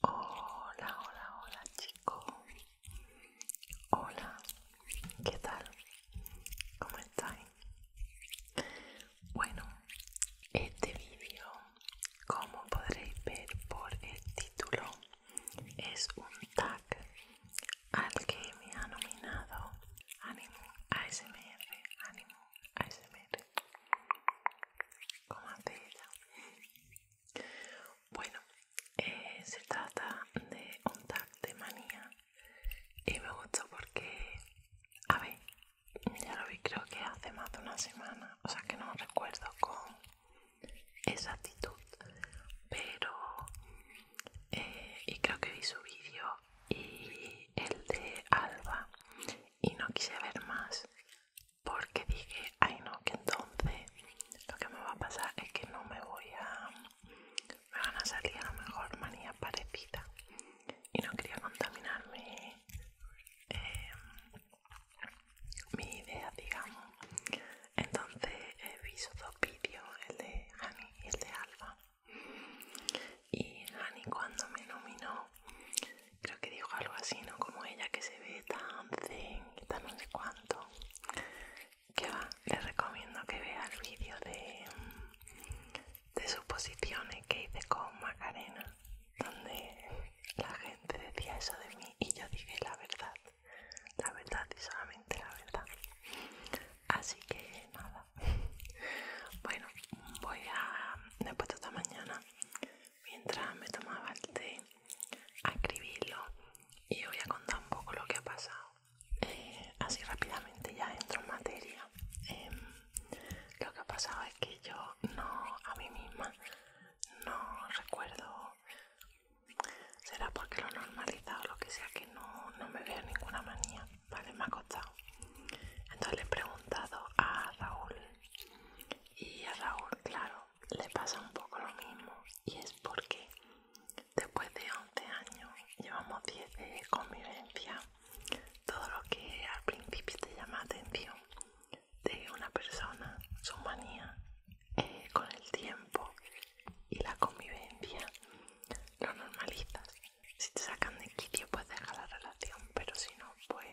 Hola, hola, hola chico. Hola, ¿qué tal? ¿Cómo estáis? Bueno, este vídeo, como podréis ver por el título, es un tag al que me ha nominado Animo ASMR, Animo ASMR. Bueno, eh, se trata de un tag de manía y me gusta porque, a ver, ya lo vi creo que hace más de una semana, o sea que no recuerdo con esa actitud pero eh, y creo que vi su vídeo y el de Alba y no quise ver más porque dije ay no que entonces lo que me va a pasar es que no me voy a me van a salir a lo mejor manía parecida y no quería contaminarme eh, mi idea, digamos. Entonces he eh, visto dos vídeos, el de Annie, y el de Alba. Y Annie cuando me nominó, creo que dijo algo así, ¿no? Como ella que se ve tan zen y tan no sé cuánto. Que va, les recomiendo que vean el vídeo de, de suposiciones que hice con Macarena, donde la gente decía eso de mí y yo dije la verdad la verdad y solamente la verdad así que nada bueno voy a después de esta mañana mientras me tomaba el té a escribirlo y voy a contar un poco lo que ha pasado eh, así rápidamente ya entro en materia em, lo que ha pasado es que yo no a mí misma no recuerdo Será porque lo he normalizado, lo que sea, que no, no me vea ninguna manía, ¿vale? Me ha costado. Entonces le he preguntado a Raúl y a Raúl, claro, le pasa un poco lo mismo y es porque después de 11 años llevamos 10 de convivencia. Todo lo que al principio te llama atención de una persona, su manía, eh, con el tiempo y la convivencia lo normalizas. Si te sacan de quicio, pues deja la relación, pero si no, pues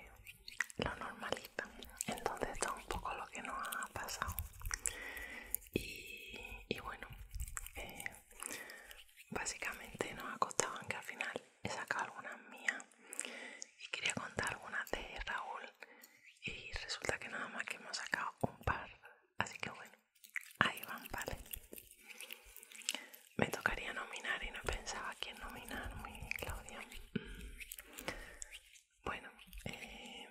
lo normalizan. Entonces, esto es un poco lo que nos ha pasado. Y, bueno, eh, básicamente nos ha costado, aunque al final he sacado algunas mías y quería contar algunas de Raúl y resulta que nada más que hemos sacado un par así que bueno ahí van vale me tocaría nominar y no pensaba quién nominar muy Claudia mm. bueno eh,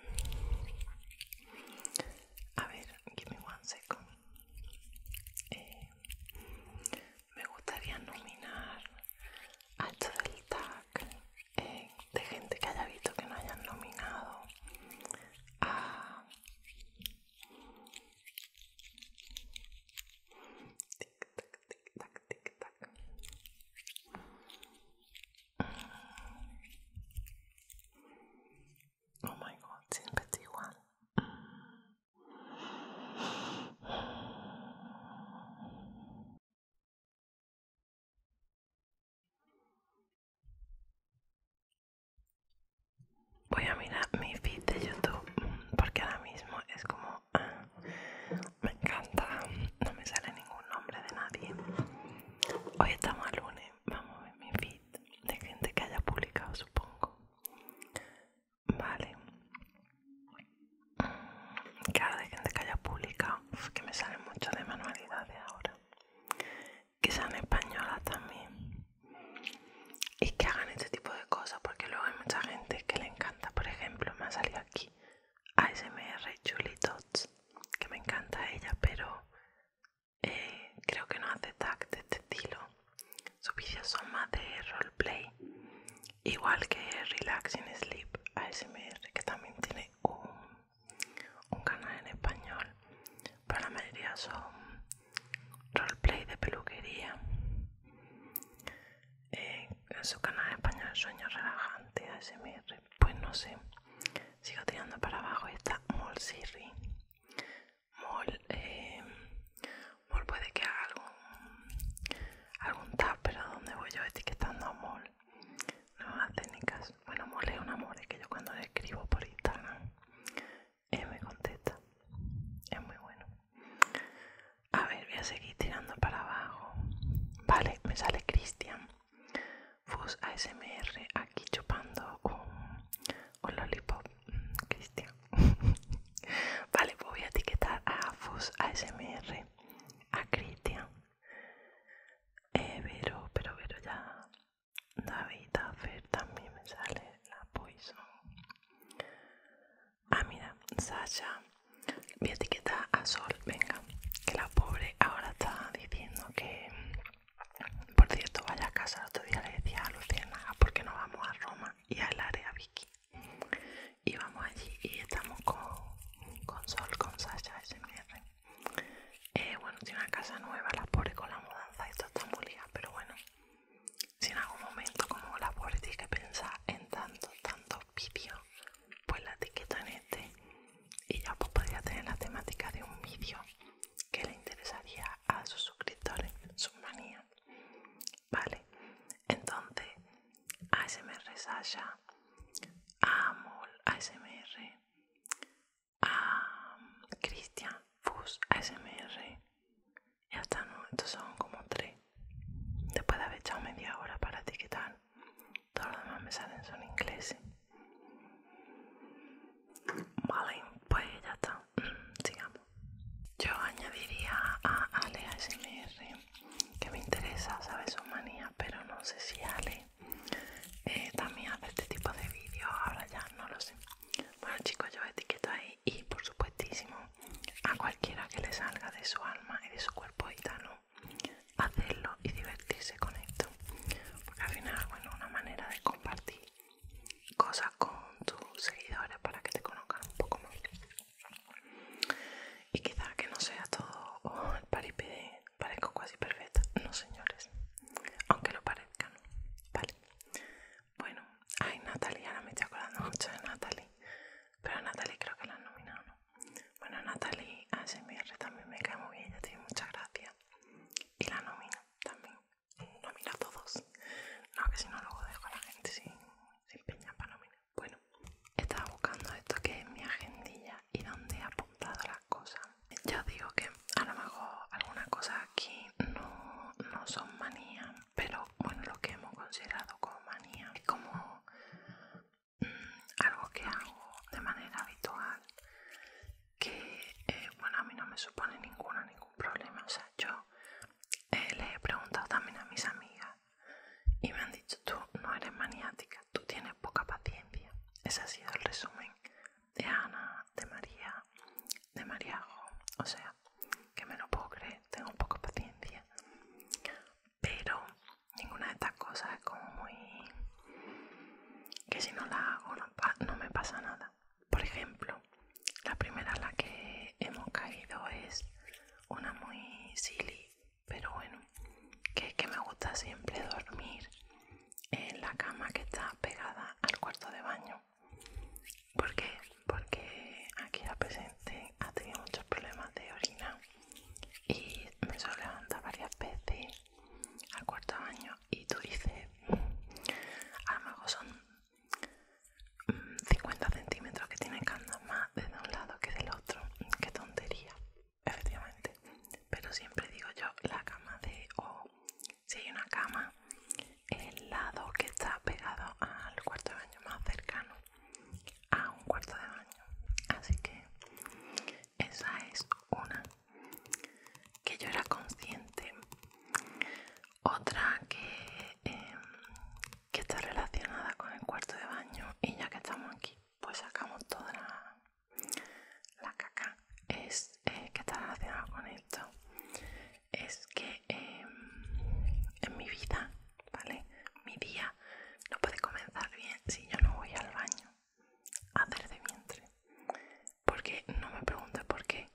a ver give me one second eh, me gustaría nominar a esto del de gente que haya visto que no hayan nominado a tic tac tic tac tic tac oh my god siempre igual Voy a mirar mi feed de YouTube porque ahora mismo es como ah, me encanta, no me sale ningún nombre de nadie. Hoy estamos a lunes, vamos a ver mi feed de gente que haya publicado, supongo. Vale ahora de gente que haya publicado, pues, que me salen mucho de manualidades ahora, que sean españolas también y que hagan este tipo de cosas, porque luego hay mucha gente que le encanta. Por ejemplo, me ha salido aquí ASMR Julie Tots, que me encanta ella, pero eh, creo que no hace tag de este estilo. Sus vídeos son más de roleplay, igual que Relaxing Sleep ASMR, que también tiene un un canal en español, pero la mayoría son roleplay de peluquería. Eh, en su canal español Sueño Relajante ASMR, pues no sé, sigo tirando para abajo y está Mol Siri. Eh, Mol, puede que haga algún, algún tap, pero donde voy yo etiquetando a Mol no técnicas. Bueno, mole un amor, que yo cuando le escribo por Instagram, me contesta. Es muy bueno. A ver, voy a seguir tirando para abajo. Vale, me sale Cristian. Fus ASMR aquí chupando un, un lollipop. Mm, Cristian. vale, pues voy a etiquetar a Fus ASMR, a Cristian. Eh, pero pero pero ya David Fer también me sale la Poison Ah mira, Sasha mi a a Sol, venga Que la pobre ahora está diciendo que Por cierto, vaya a casa, el otro día le decía a Luciana ah, porque qué no vamos a Roma y al área Vicky? Y vamos allí y estamos con, con Sol, con Sasha ese eh, bueno, tiene una casa nueva, la pobre con la mudanza, esto está muy ligado, pero bueno, si en algún momento como la pobre tiene que pensar en tantos, tantos vídeos, pues la etiqueta en este y ya pues podría tener la temática de un vídeo que le interesaría a sus suscriptores, sus manías. Vale, entonces me Sasha a ASMR, a Cristian Fus ASMR ya está, no, estos son como tres. Después de haber echado media hora para etiquetar, todos los demás me salen son ingleses. Vale, pues ya está, mm, sigamos. Yo añadiría a Ale ASMR, que me interesa saber su manía, pero no sé si Ale eh, también hacer este tipo de vídeos, ahora ya no lo sé. Bueno chicos, yo etiqueto ahí y por supuestísimo a cualquiera que le salga de su alma y de su cuerpo gitano hacerlo y divertirse con esto. Porque al final, bueno, una manera de compartir cosas con tus seguidores para que te conozcan un poco más. Y quizás que no sea todo el paripé parezco casi perfecta. No, señores. Aunque lo parezca, Vale. Bueno, ay, Natalie, ahora me estoy acordando mucho de Natalie. Pero a Natalie creo que la han nominado, ¿no? Bueno, Natalie ASMR también me cae muy bien, te tiene muchas gracias. Y la nomino también. Nomino a todos. No, que si no, luego dejo a la gente sin, sin peña para nominar. Bueno, estaba buscando esto que es mi agendilla y dónde he apuntado las cosas. Ya digo que a lo mejor algunas cosas aquí no, son manías, pero bueno, lo que hemos considerado como manía es como mm, algo que hago de manera habitual que eh, bueno a mí no me supone ninguna ningún problema o sea yo eh, le he preguntado también a mis amigas y me han dicho tú no eres maniática tú tienes poca paciencia. Ese ha sido el resumen de Ana, de María, de Mariajo. O sea, que me lo puedo creer, tengo poca paciencia. Pero ninguna de estas cosas es como muy... que si no la hago no, me pasa nada. Por ejemplo, la primera en la que hemos caído es una muy silly pero bueno que, es que me gusta siempre dormir en la cama que está pegada al cuarto de baño ¿Por qué? porque aquí la presente ha tenido muchos problemas de orina y me suele levantar varias veces al cuarto de baño y tú dices mm, a son 50 mm, centímetros que tiene que andar más desde un lado que del otro mm, qué tontería efectivamente. Pero siempre digo yo, la cama de... o si hay una cama, el lado que está pegado al cuarto de baño más cercano a un cuarto de baño. Así que esa es una que yo era consciente. Otra que, em, que está relacionada con el cuarto de baño y ya que estamos aquí pues sacamos toda la, la caca es eh, que está relacionada con esto es que em, en mi vida vale mi día no puede comenzar bien si yo no voy al baño a hacer de vientre porque no me preguntes por qué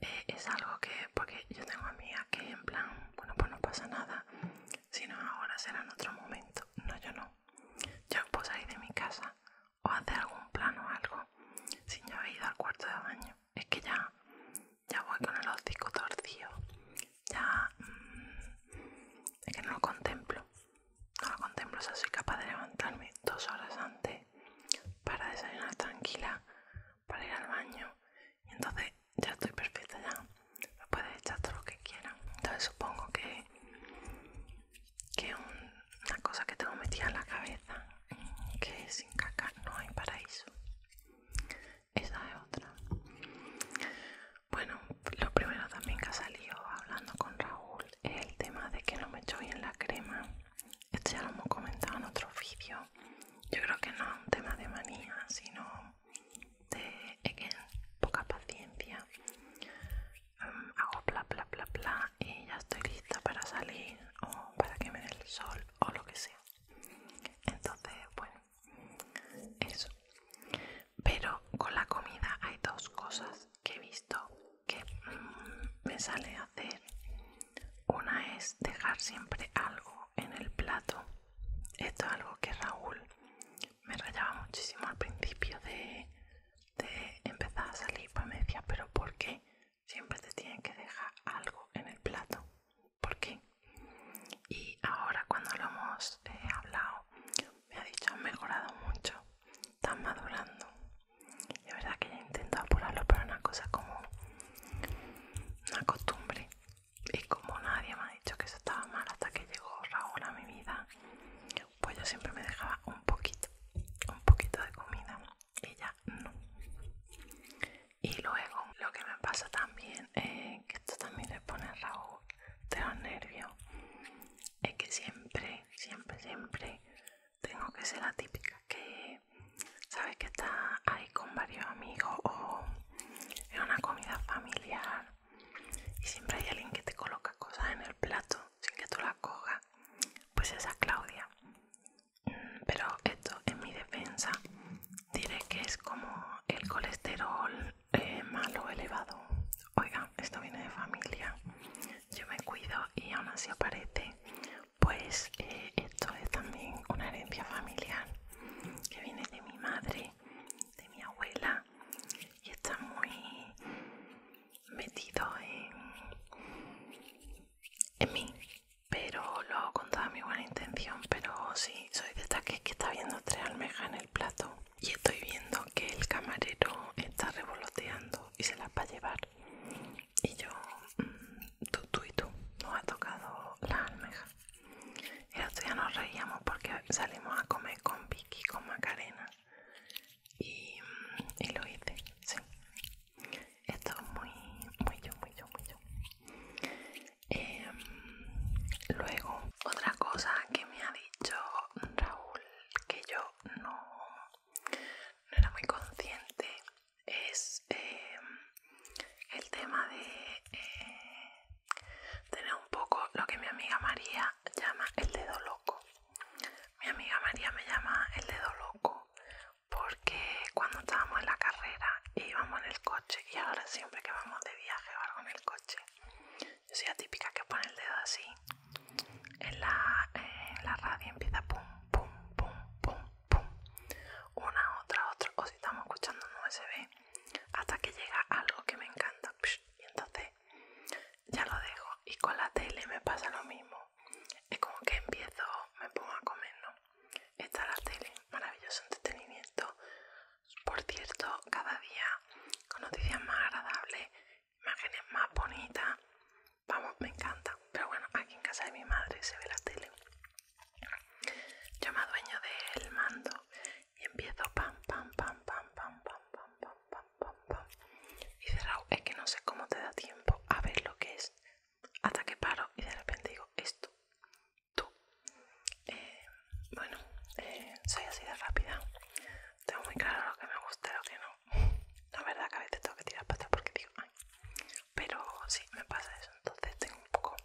eh, es algo que porque yo tengo a mí que en plan bueno pues no pasa nada si no ahora será en otro momento no yo no yo puedo salir de mi casa o hacer algún plan o algo si no he ido al cuarto de baño. Es que ya, ya voy con el hocico torcido. Ya mm, es que no lo contemplo. No lo contemplo, o sea, soy capaz de levantarme dos horas antes para desayunar tranquila, para ir al baño. Y entonces ya estoy perfecta ya. Puedes echar todo lo que quieras Entonces supongo que, que una cosa que tengo metida en la cabeza, que sin caca no hay paraíso. Esa es otra. Bueno, lo primero también que ha salido hablando con Raúl es el tema de que no me echo bien la crema. Esto ya lo hemos comentado en otro vídeo. Yo creo que no es un tema de manía, sino de poca paciencia. Mm, hago bla bla bla bla y ya estoy lista para salir o para que me el sol o lo que sea. Entonces, bueno, eso. Pero con la comida hay dos cosas que he visto que mm, me sale hacer. Una es dejar siempre algo en el plato. Esto es algo que Raúl me rayaba muchísimo al principio de, empezar a salir, pues me decía, pero ¿por qué siempre te tienen que dejar algo en el plato? ¿Por qué? Y ahora cuando lo hemos eh, hablado, me ha dicho, ha mejorado mucho, están madurando. la verdad que ya intento apurarlo, pero es una cosa como una costumbre. Y como nadie me ha dicho que eso estaba mal hasta que llegó Raúl a mi vida, pues yo siempre me dejaba un poquito, un poquito de comida, ella no. Y luego lo que me pasa también, eh, que esto también le pone Raúl de los nervios, es que siempre, siempre, siempre tengo que ser la típica que, ¿sabes? Que está ahí con varios amigos o en una comida familiar y siempre hay alguien que te coloca cosas en el plato sin que tú las cojas, pues esa Claudia. Pero esto en mi defensa diré que es como el colesterol eh, malo elevado. Oiga, esto viene de familia. Yo me cuido y aún así aparece. Pues eh, esto es también una herencia familiar que viene de mi madre de, mi abuela y está muy metido en, en mí pero lo hago con toda mi buena intención pero sí soy de taques que, está viendo tres almejas en el plato y estoy viendo que el camarero está revoloteando y se las va a llevar y yo mm, tú, tú y tú nos ha tocado la almejas el otro día nos reíamos porque salimos a comer con Vicky, con Macarena. Y, mm, lo hice, sí. Esto es muy, muy yo, muy yo, muy yo. Em, luego, otra cosa que me ha dicho Raúl, que yo no, era muy consciente, es em, el tema de eh, Tener un poco lo que mi amiga María llama el dedo loco. Mi amiga María me llama el dedo loco porque cuando estábamos en la carrera íbamos en el coche y ahora siempre que vamos de viaje o algo en el coche, yo soy la típica que pone el dedo así en la, en la radio empieza pum, pum, pum, pum, pum, una, otra, otra, o si estamos escuchando un USB hasta que llega algo que me encanta y entonces ya lo dejo y con la tele me pasa lo mismo es como que empiezo me pongo a comer no está la tele maravilloso entretenimiento por cierto cada día con noticias más agradables imágenes más bonitas vamos me encanta pero bueno aquí en casa de mi madre se ve la tele yo me adueño del mando y empiezo pam pam pam pam pam pam pam pam pam pam pam y cerrado es que no sé cómo te da tiempo a ver lo que es hasta que paro y de repente digo esto tú bueno soy así de rápida tengo muy claro lo que me gusta y lo que no la verdad que a veces tengo que tirar para atrás porque digo ay pero sí me pasa eso entonces tengo un poco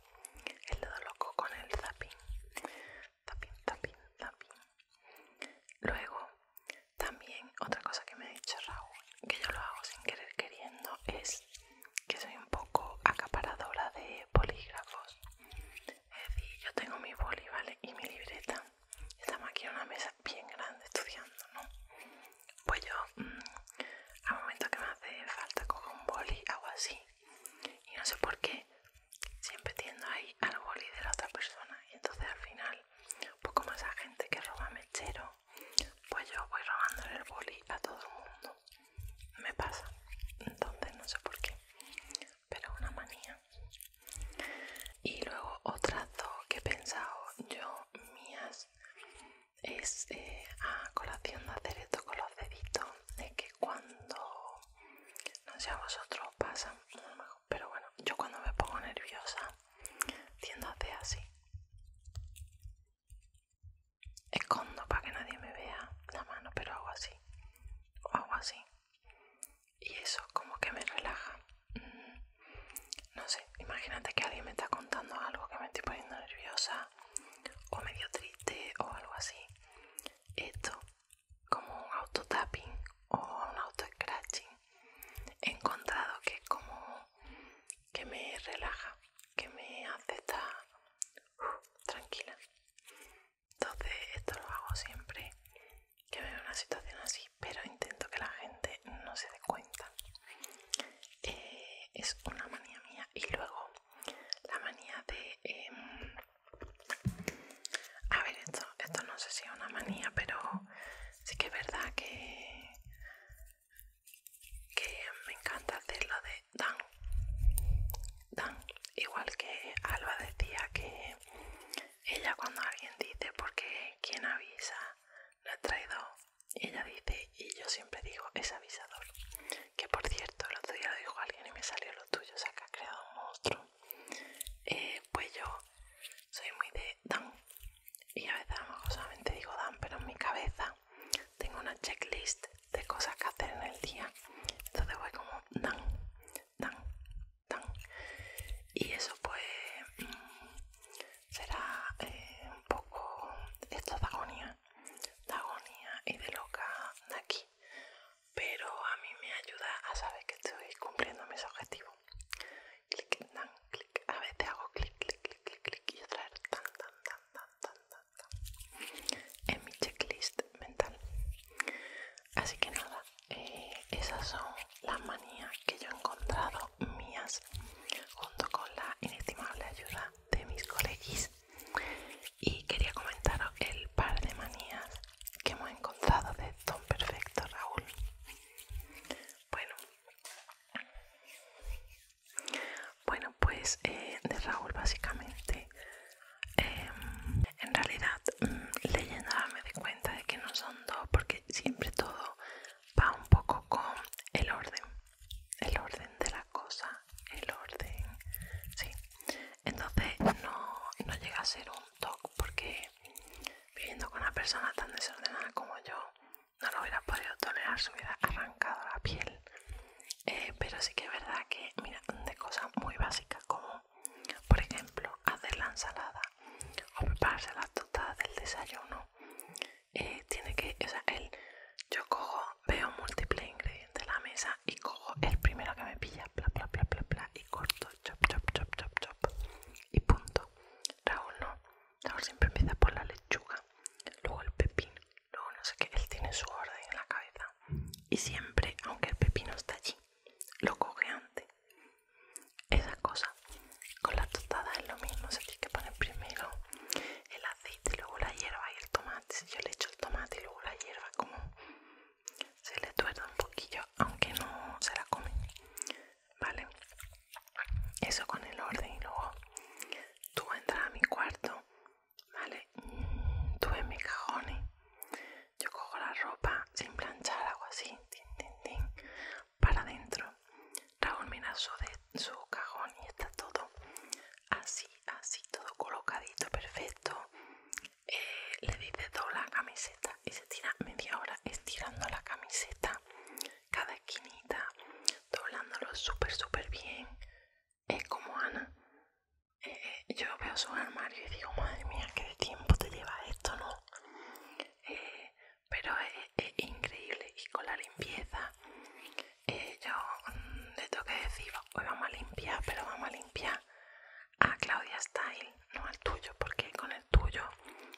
el dedo loco con el zapping también, también, también Luego, también otra cosa que me ha dicho Raúl, que yo lo hago sin querer queriendo, es que soy un poco acaparadora de bolígrafos. Es decir, yo tengo mi boli, ¿vale? Y mi libreta. Estamos aquí en una mesa bien grande estudiando, ¿no? Pues yo, mm, al momento que me hace falta, cojo un boli, hago así. Y no sé por qué, siempre tiendo ahí al boli de la otra persona y entonces al final un poco más a gente que roba mechero pues yo voy robando el boli a todo el mundo me pasa entonces no sé por qué pero es una manía y luego otra cosa que he pensado yo mías es eh, a colación de hacer esto con los deditos es que cuando no sé a vosotros pasa, pero bueno, yo cuando me pongo nerviosa tiendo a hacer así. Escondo para que nadie me vea la mano, pero hago así, o hago así. Y eso como que me relaja. Mm, no sé, imagínate que alguien me está contando algo que me estoy poniendo nerviosa o medio triste o algo así. Esto como un auto tapping o un auto scratching he encontrado que es como que me relaja que me hace estar tranquila entonces esto lo hago siempre que veo una situación así pero intento que la gente no se dé cuenta eh, es una manía mía y luego la manía de em, a ver, esto, esto no sé si es una manía, pero sí que es verdad que, me encanta hacer lo de Dan. Dan. Igual que Alba decía que ella cuando alguien dice porque quien avisa no ha traído, ella dice y yo siempre digo es avisador. Que por cierto, el otro día lo dijo alguien y me salió lo tuyo, o sea que ha creado un monstruo. Eh, pues yo soy muy de Dan y a veces a solamente digo Dan, pero en mi cabeza tengo una checklist de cosas que hacer en el día, entonces voy como Dan, Dan, Dan y eso pues mm, será eh, un poco esto de agonía, de agonía y de loca de aquí pero a mí me ayuda a saber que estoy cumpliendo mis objetivos. Clic, dan, clic. A veces hago clic, clic, clic, clic, y otra tan, tan, tan, tan, tan, tan, En mi checklist mental. Así que nada, eh, esas son las manías que yo he encontrado mías junto con la inestimable ayuda de mis coleguis y quería comentaros el par de manías que hemos encontrado de Don Perfecto Raúl. Bueno, bueno pues eh, de Raúl básicamente, em, en realidad mm, leyendo me di cuenta de que no son dos porque siempre todo va un poco con el orden, el orden de la cosa, el orden, sí entonces no, no llega a ser un toque porque viviendo con una persona tan desordenada como yo no lo hubiera podido tolerar, se hubiera arrancado la piel. Eh, pero sí que es verdad que, mira, de cosas muy básicas como, por ejemplo, hacer la ensalada o prepararse las tostadas del desayuno, eh, tiene que, yo cojo, veo múltiples ingredientes en la mesa y cojo el primero que me pilla, bla bla bla bla y corto, chop chop chop chop chop, y punto. Raúl no, Raúl siempre empieza por la lechuga, luego el pepino, luego no sé qué, él tiene su orden en la cabeza. Y siempre, aunque el pepino está allí, lo coge antes. Esa cosa, con la tostadas es lo mismo, se tiene que poner primero el aceite, luego la hierba y el tomate. Si yo le echo el tomate y luego la hierba, como se le tuerda un poquillo aunque no se la comen vale eso con el orden y luego tú entras a mi cuarto vale tú en mis cajones yo cojo la ropa sin planchar algo así para adentro Raúl mira su, de, su cajón y está todo así así todo colocadito perfecto eh, le dice dobla la camiseta y se tira media hora estirando la camiseta cada esquinita doblándolo súper súper bien es como Ana eh, eh, yo veo su armario y digo madre mía qué tiempo te lleva esto no pero es, increíble y con la limpieza yo mm, le toque que decir hoy vamos a limpiar pero vamos a limpiar a ah, Claudia Style, no al tuyo, porque con el tuyo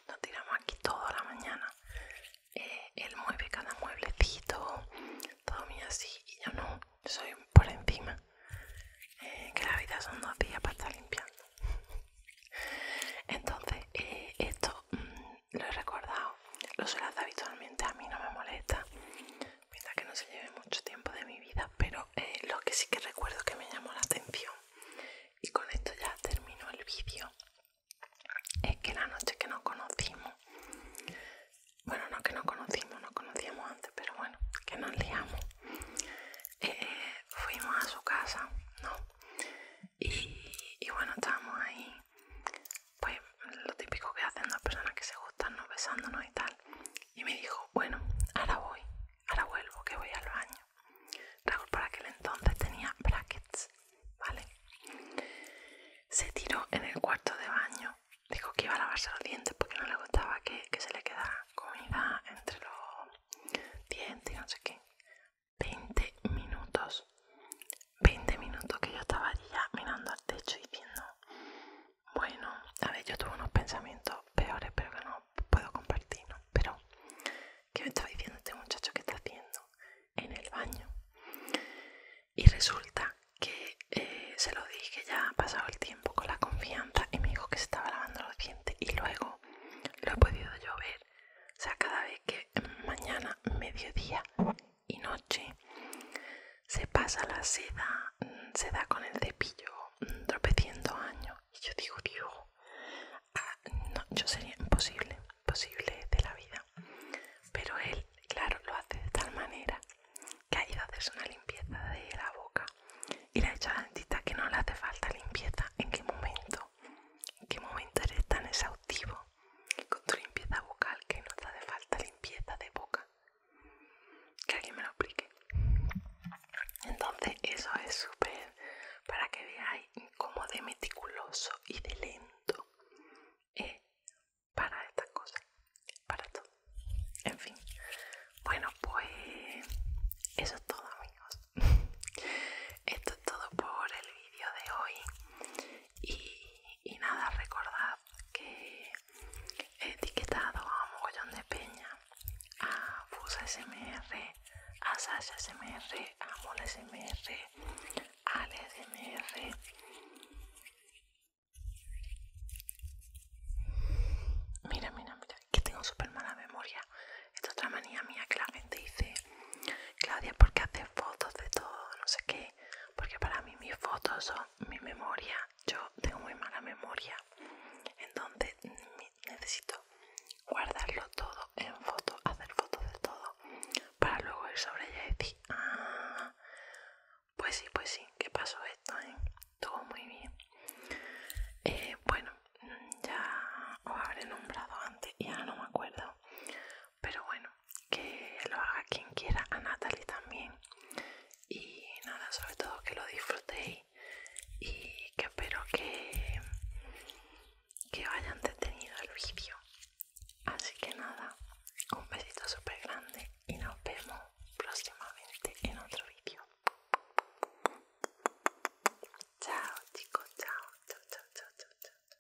nos tiramos aquí toda la mañana. El eh, él mueve cada mueblecito, todo mío así, y yo no, soy por encima. Eh, que la vida son dos días para estar limpiando. Entonces, eh, esto mm, lo he recordado, lo suelo hacer habitualmente, a mí no me molesta que no se lleve mucho tiempo de mi vida, pero eh, lo que sí que recuerdo que me llamó la atención, y con esto ya termino el vídeo, es que la noche que nos conocimos, bueno, no que nos conocimos, nos conocíamos antes, pero bueno, que nos liamos, eh, fuimos a su casa, ¿no? Y, bueno, estábamos ahí, pues lo típico que hacen las personas que se gustan estarnos besándonos y tal. Y me dijo, bueno, ahora voy, ahora vuelvo, que voy al baño. Raúl para aquel entonces tenía brackets, ¿vale? Se tiró en el cuarto de baño, dijo que iba a lavarse los dientes porque no le gustaba que, que se le quedara comida entre los dientes y no sé qué. 20 minutos, 20 minutos que yo estaba ya mirando al techo y diciendo, bueno, a ver, yo tuve unos pensamientos peores, pero que no puedo compartir, Pero, ¿qué me estaba diciendo este muchacho que está haciendo en el baño? Y resulta que eh, se lo dije, ya ha pasado el tiempo con la confianza y me dijo que se estaba lavando los dientes y luego lo he podido yo ver. O sea, cada vez que mm, mañana, mediodía y noche se pasa la seda, mm, se da con el cepillo mm, tropeciendo años. Y yo digo, ah, no, yo sería imposible, imposible de la vida. Pero él, claro, lo hace de tal manera que ha ido a hacerse una limpieza de la boca y le ha la dentista que no le hace falta limpieza. ¿En qué momento? ¿En qué momento eres tan exhaustivo con tu limpieza bucal que no te hace falta limpieza de boca? que alguien me lo explique entonces eso es súper para que veáis como de meticuloso y de lento es para estas cosas para todo en fin bueno pues eso es todo amigos esto es todo por el vídeo de hoy y nada recordad que he etiquetado a mogollón de peña, a Fusa SMR, a Sasha SMR, a mol SMR, a SMR. Mira, mira, mira, que tengo súper mala memoria. Esta es otra manía mía que la gente dice, Claudia, ¿por qué fotos de todo? No sé qué. Porque para mí mis fotos son mi memoria. Yo tengo muy mala memoria entonces necesito guardarlo todo en foto hacer fotos de todo para luego ir sobre ella y decir ah, pues sí pues sí que pasó esto eh? Todo muy bien eh, bueno ya os habré nombrado antes y ahora no me acuerdo pero bueno que lo haga quien quiera a Natalie también y nada sobre todo que lo disfrutéis y que espero que que hayan detenido el vídeo así que nada un besito súper grande y nos vemos próximamente en otro vídeo chao chicos chao chao chao chao, chao.